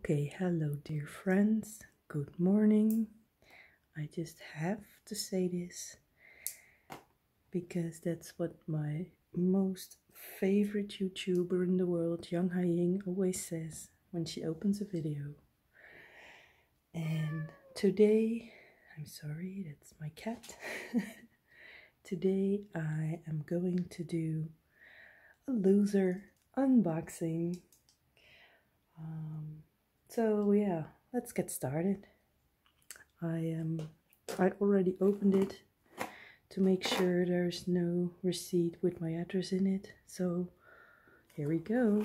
Okay, hello, dear friends. Good morning. I just have to say this because that's what my most favorite YouTuber in the world, Yang Hai always says when she opens a video. And today, I'm sorry, that's my cat. Today I am going to do a loser unboxing. Um, so yeah, let's get started. I am I already opened it to make sure there's no receipt with my address in it. So here we go.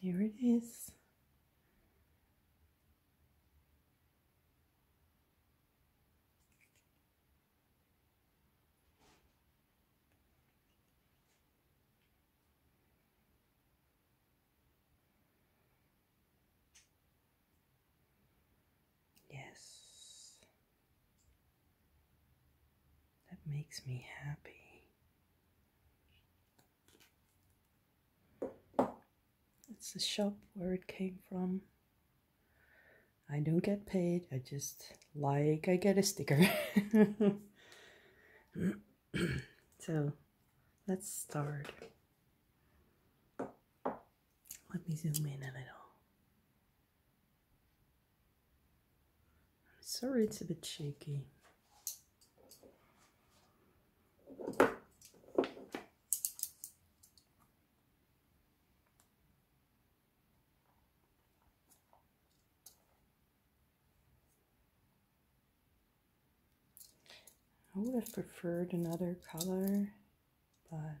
Here it is. Yes, that makes me happy. It's the shop where it came from. I don't get paid, I just like I get a sticker. so let's start. Let me zoom in a little. I'm sorry it's a bit shaky. I would have preferred another color, but well,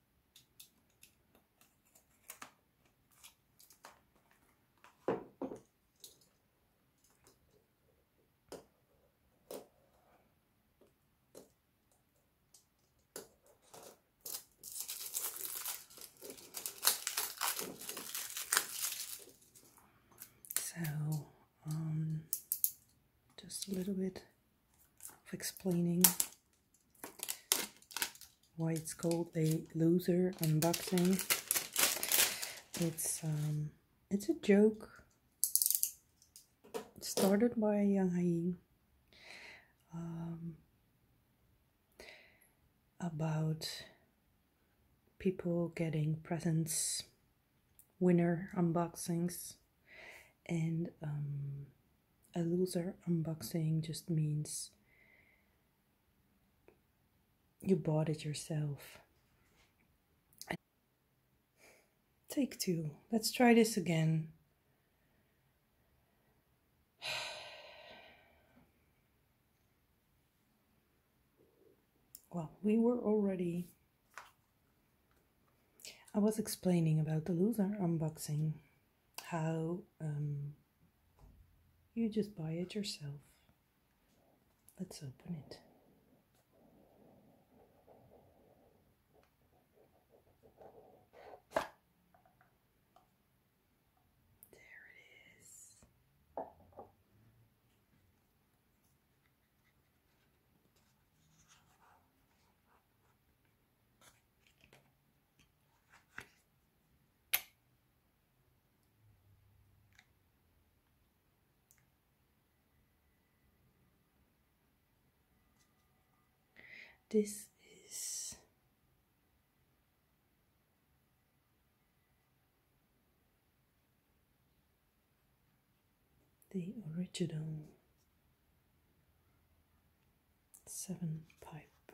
So, um, just a little bit of explaining why it's called a loser unboxing. It's um, it's a joke started by Yang Haim um, about people getting presents, winner unboxings, and um, a loser unboxing just means you bought it yourself. Take two. Let's try this again. Well, we were already. I was explaining about the loser unboxing how um, you just buy it yourself. Let's open it. There it is. This is the original seven pipe.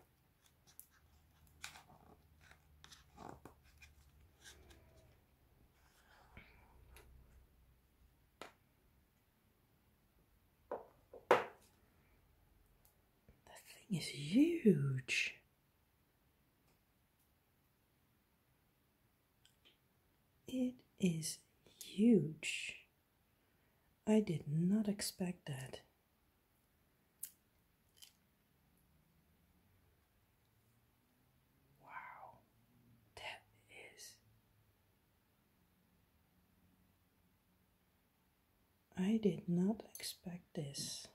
That thing is huge. It is huge. I did not expect that. Wow, that is. I did not expect this.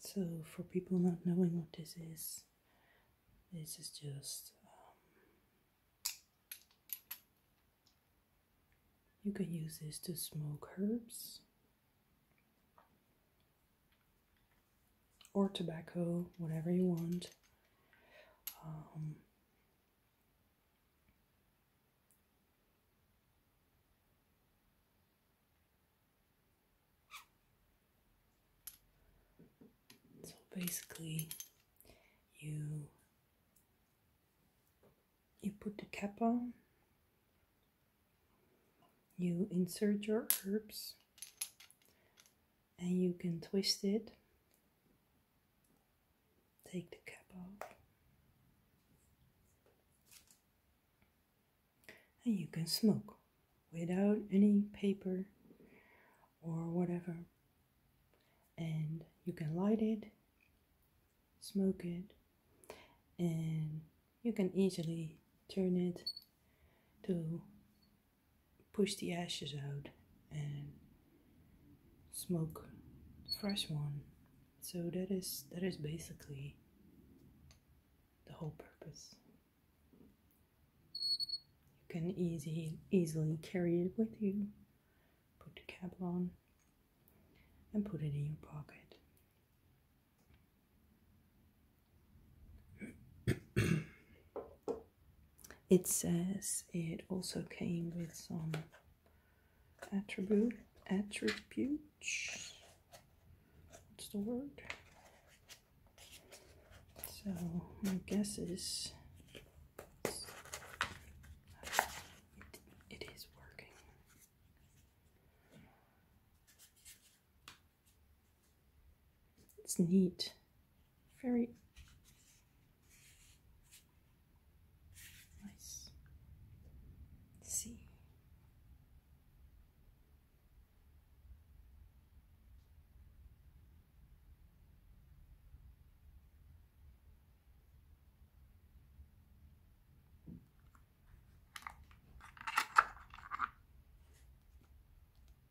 So, for people not knowing what this is, this is just um, you can use this to smoke herbs or tobacco, whatever you want. Um, so basically, you you put the cap on, you insert your herbs, and you can twist it take the cap off. And you can smoke without any paper or whatever. And you can light it, smoke it, and you can easily turn it to push the ashes out and smoke fresh one so that is that is basically the whole purpose you can easy easily carry it with you put the cap on and put it in your pocket It says it also came with some attribute attributes. What's the word? So my guess is it is working. It's neat very nice see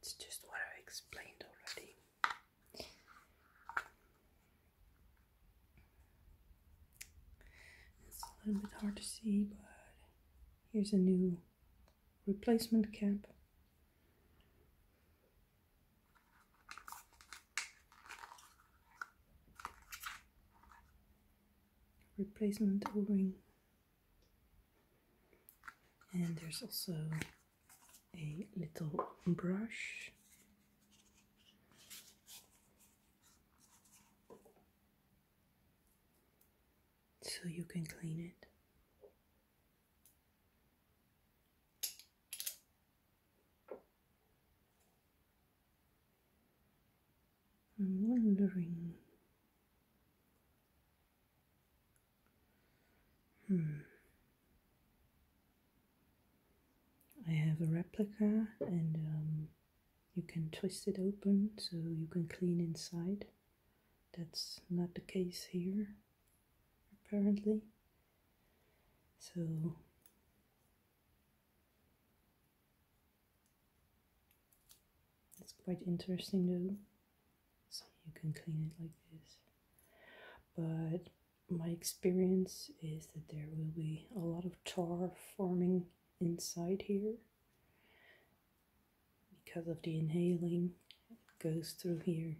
It's just what I explained already. It's a little bit hard to see, but here's a new replacement cap. Replacement O-ring and there's also a little brush. So you can clean it. I'm wondering Hmm. I have a replica and um, you can twist it open so you can clean inside. That's not the case here, apparently. So it's quite interesting though. So you can clean it like this. But my experience is that there will be a lot of tar forming inside here because of the inhaling it goes through here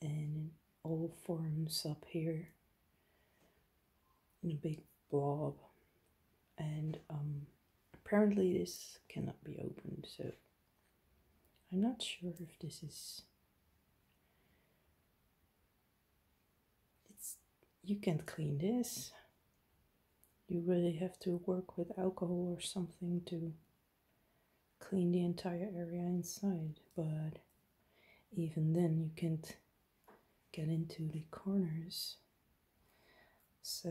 and it all forms up here in a big blob and um, apparently this cannot be opened so I'm not sure if this is it's you can't clean this you really have to work with alcohol or something to clean the entire area inside but even then you can't get into the corners so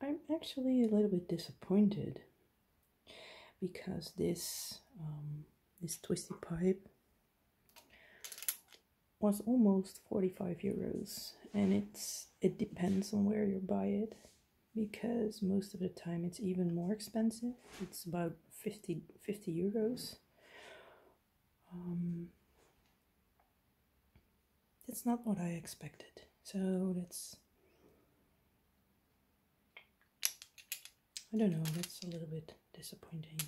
I'm actually a little bit disappointed because this um, this twisty pipe was almost 45 euros and it's it depends on where you buy it because most of the time it's even more expensive it's about 50 euros um, that's not what I expected. So that's. I don't know, that's a little bit disappointing.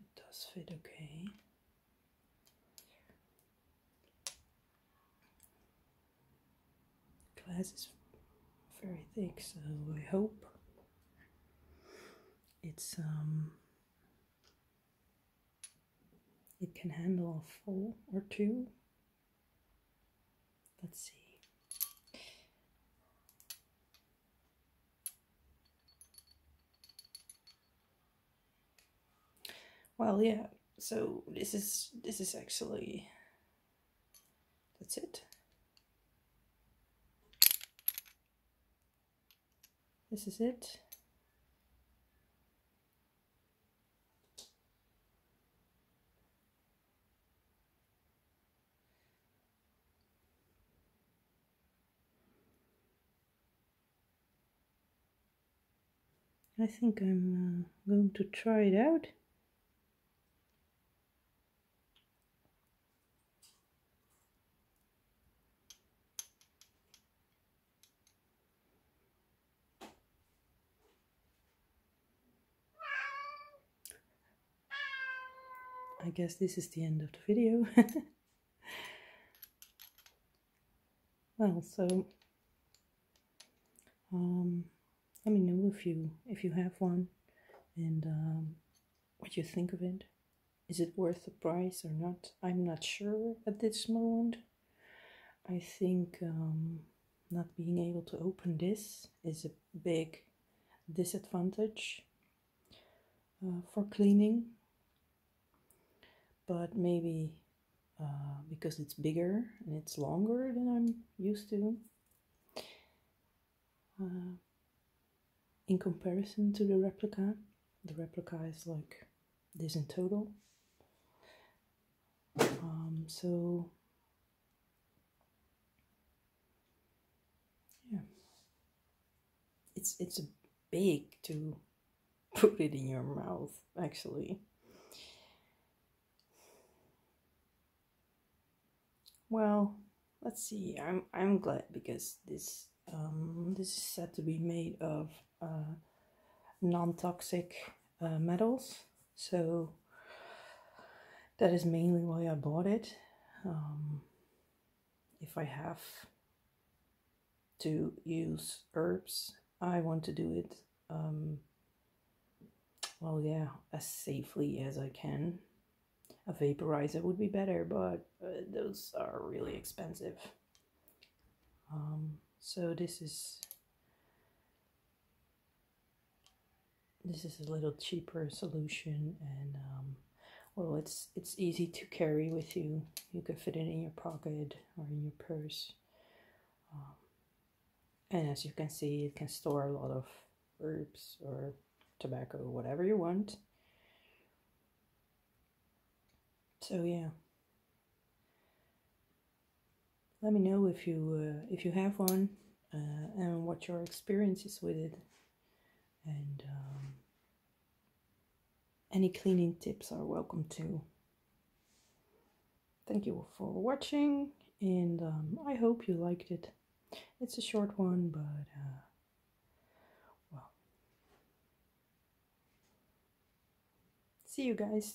It does fit okay. Glass is very thick, so I hope it's um it can handle a full or two. Let's see. Well, yeah, so this is, this is actually, that's it. This is it. I think I'm uh, going to try it out. I guess this is the end of the video. well, so um, let me know if you if you have one and um, what you think of it. Is it worth the price or not? I'm not sure at this moment. I think um, not being able to open this is a big disadvantage uh, for cleaning but maybe uh, because it's bigger and it's longer than I'm used to uh, in comparison to the replica the replica is like this in total um, so yeah. It's it's big to put it in your mouth actually. Well, let's see. I'm I'm glad because this um, this is said to be made of uh, non-toxic uh, metals. So that is mainly why I bought it. Um, if I have to use herbs, I want to do it, um, well, yeah, as safely as I can. A vaporizer would be better, but uh, those are really expensive. Um, so this is this is a little cheaper solution and um, well it's it's easy to carry with you you can fit it in your pocket or in your purse um, and as you can see it can store a lot of herbs or tobacco whatever you want so yeah let me know if you uh, if you have one uh, and what your experience is with it and um, any cleaning tips are welcome too thank you for watching and um, I hope you liked it it's a short one but uh, well see you guys